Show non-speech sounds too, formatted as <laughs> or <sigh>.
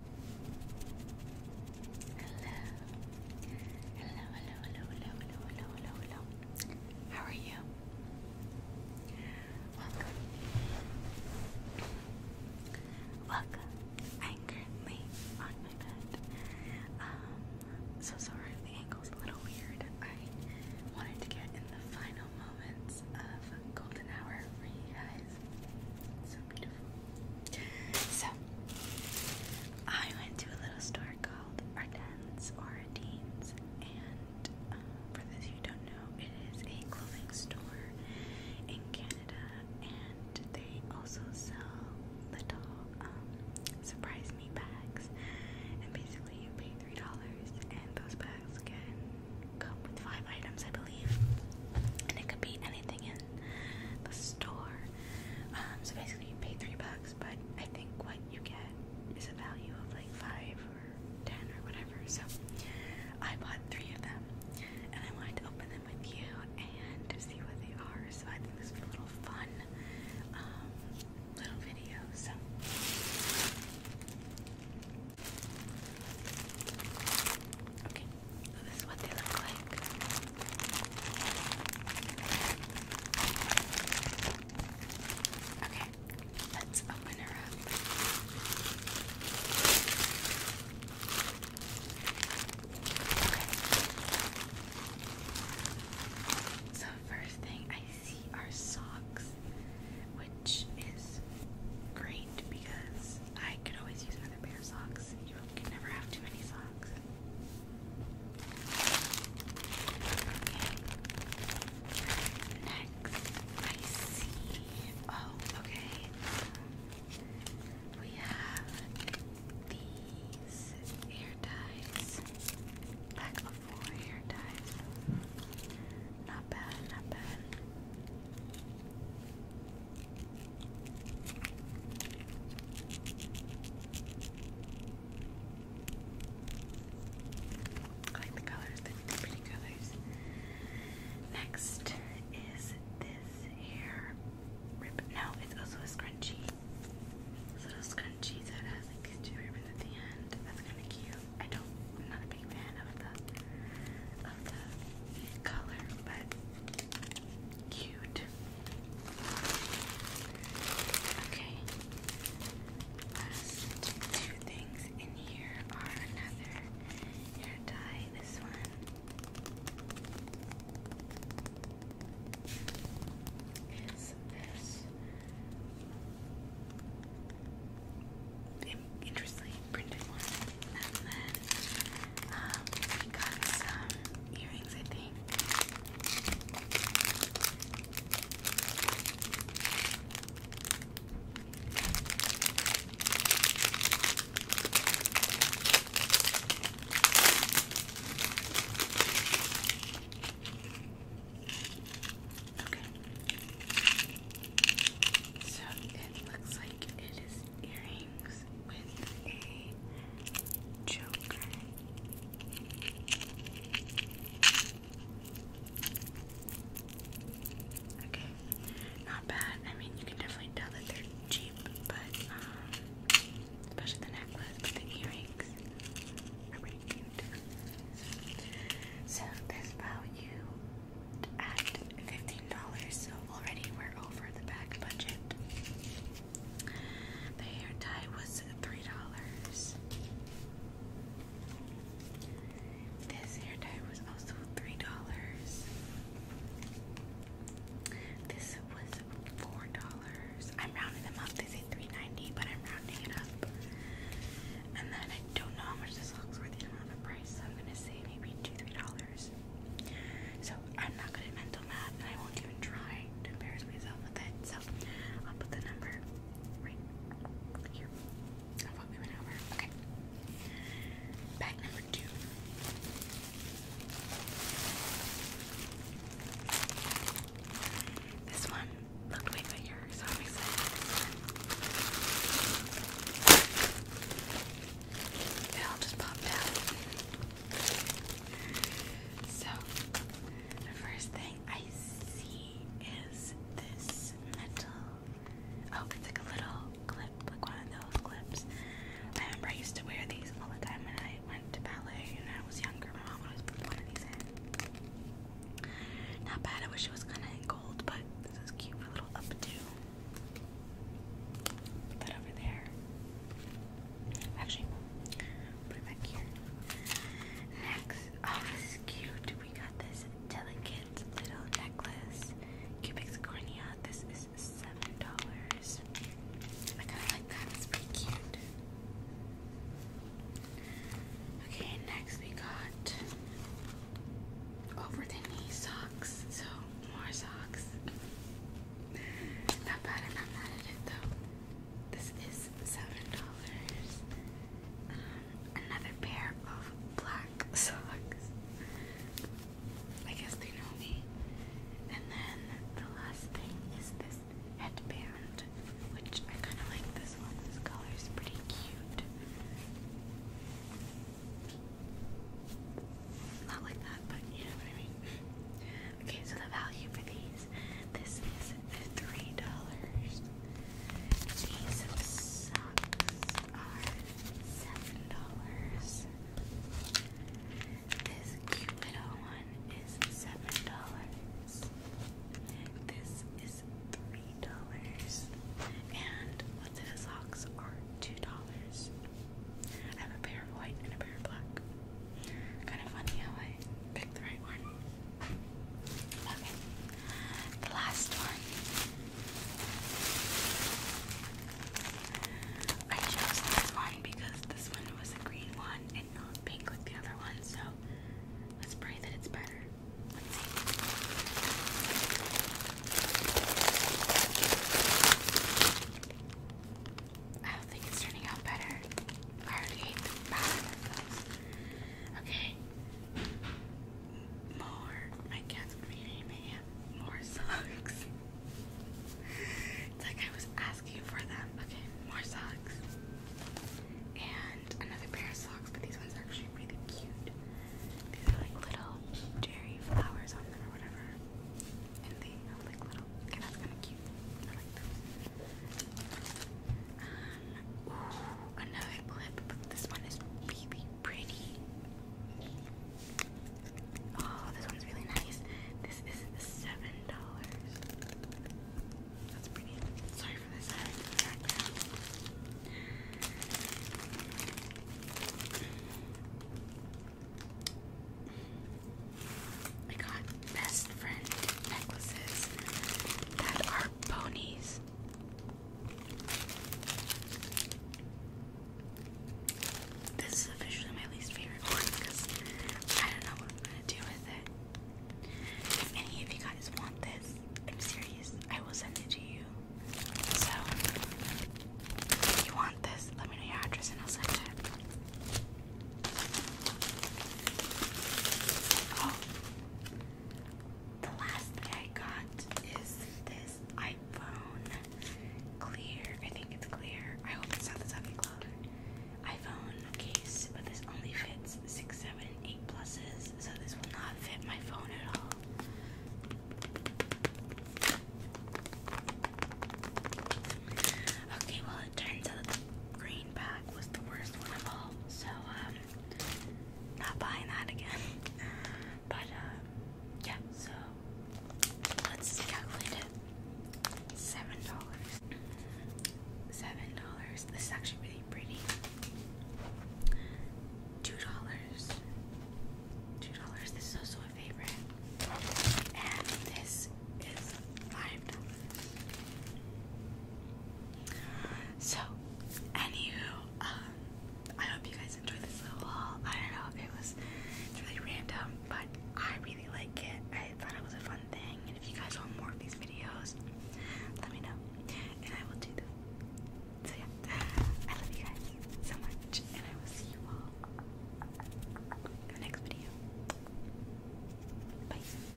hello, hello, hello, hello, hello, hello, hello. How are you? Welcome. Welcome. I'm currently on my bed. Um, so sorry if the angle's a little weird. I wanted to get in the final moments of golden hour for you guys. So beautiful. So, I went to a little store called Ardennes or Ardennes, and um, for those who don't know, it is a clothing store in Canada, and they also sell little um, surprise me bags. And basically, you pay three dollars, and those bags bags can come with five items, I believe, and it could be anything in the store. Um, so basically, you pay three bucks, but I think what you get is a value of like five or ten or whatever. So I bought three of them, and I wanted to open them with you and see what they are. So I think this will be a little fun um, little video. So. Okay, so this is what they look like. Okay, let's open her up. Okay. So first thing I see are socks which is great because I could always use another pair of socks. You can never have too many socks. Okay. Next, I see. Oh, okay. We have these hair ties. Pack of four hair ties. Not bad, not bad. I like the colors, pretty colors. Next is this hair rib. No, it's also a scrunchie. little scrunchie that has like two ribbons at the end. That's kind of cute. I don't, I'm not a big fan of the, of the color, but cute. Okay, last two things in here are another hair dye, this one. Is this interestingly printed one. And then um, got some earrings, I think. Okay. So it looks like it is earrings with a choker. Okay, not bad. I mean, you can definitely tell that they're cheap, but um, especially the necklace, but the earrings. So this value at $15, so already we're over the bag budget. The hair tie was $3. This hair tie was also $3. This was four dollars. I'm rounding them up. They say three ninety, but I'm rounding it up. And then I don't know how much this looks worth in on of price, so I'm gonna say maybe two, three dollars. So I'm not going to mental math, and I won't even try to embarrass myself with it. So I'll put the number right here. Of what we went over. Okay. Bag number two. This one looked way bigger, so I'm excited It all just popped out. So, the first thing I see is this metal. Oh, it's like a little clip, like one of those clips. I remember I used to wear these all the time when I I went to ballet and I was younger. My mom always put one of these in. Not bad. I wish it was kind of in gold, but this is cute for a little updo. Put that over there. Actually, put it back here. Next, oh, this is cute. We got this delicate little necklace, Cupid's cornea. This is seven dollars. I kind of like that. It's pretty cute. Okay, next we got over the knee socks. So more socks. Not bad. not mad at it though. This is seven dollars. Um, another pair of black <laughs> socks. I guess they know me. And then the last thing is this headband, which I kind of like this one. This color is pretty cute. Not like that, but you know what I mean. Okay, so the value for these, this is three dollars. These are seven dollars. This Cupido one is seven dollars. This is three dollars. And Latoya socks are two dollars. I have a pair of white and a pair of black. Kind of funny how I picked the right one. Okay. The last one I chose this one because this one was a green one and not pink like the other one, so let's pray that it's better. Let's see. I don't think it's turning out better. I already ate the bathroom of those. Okay. More. My cat's reading me more socks. it's like I was asking for them. Okay, more socks. And another pair of socks, but these ones are actually really cute. These are like little cherry flowers on them or whatever. And they have like little, okay, that's kind of cute. I like those. Um, another clip, this one is really pretty. Oh, this one's really nice. This is seven dollars. That's pretty. Sorry for this I got best friend necklaces that are ponies. This is officially my least favorite one because I don't know what I'm gonna do with it. any of you guys want this, I'm serious, I will send it to you. So, if you want this, let me know your address and I'll send it. Oh, the last thing I got is this iPhone clear. I think it's clear. I hope it's not the second color. iPhone case, but this only fits six, seven, and eight pluses, so this will not fit my phone at all. Okay, well it turns out the green bag was the worst one of all. So um not buying that again. <laughs> But uh, yeah, so let's calculate it. Seven dollars. Seven dollars. This is actually really pretty. Two dollars. Two dollars. This is also a favorite. And this is five dollars. So, anywho, um, I hope you guys enjoyed this little haul. I don't know if it was really random, but I really like it. I thought it was a fun thing, and if you guys want more of these videos, let me know, and I will do them. So yeah, I love you guys so much, and I will see you all in the next video. Bye.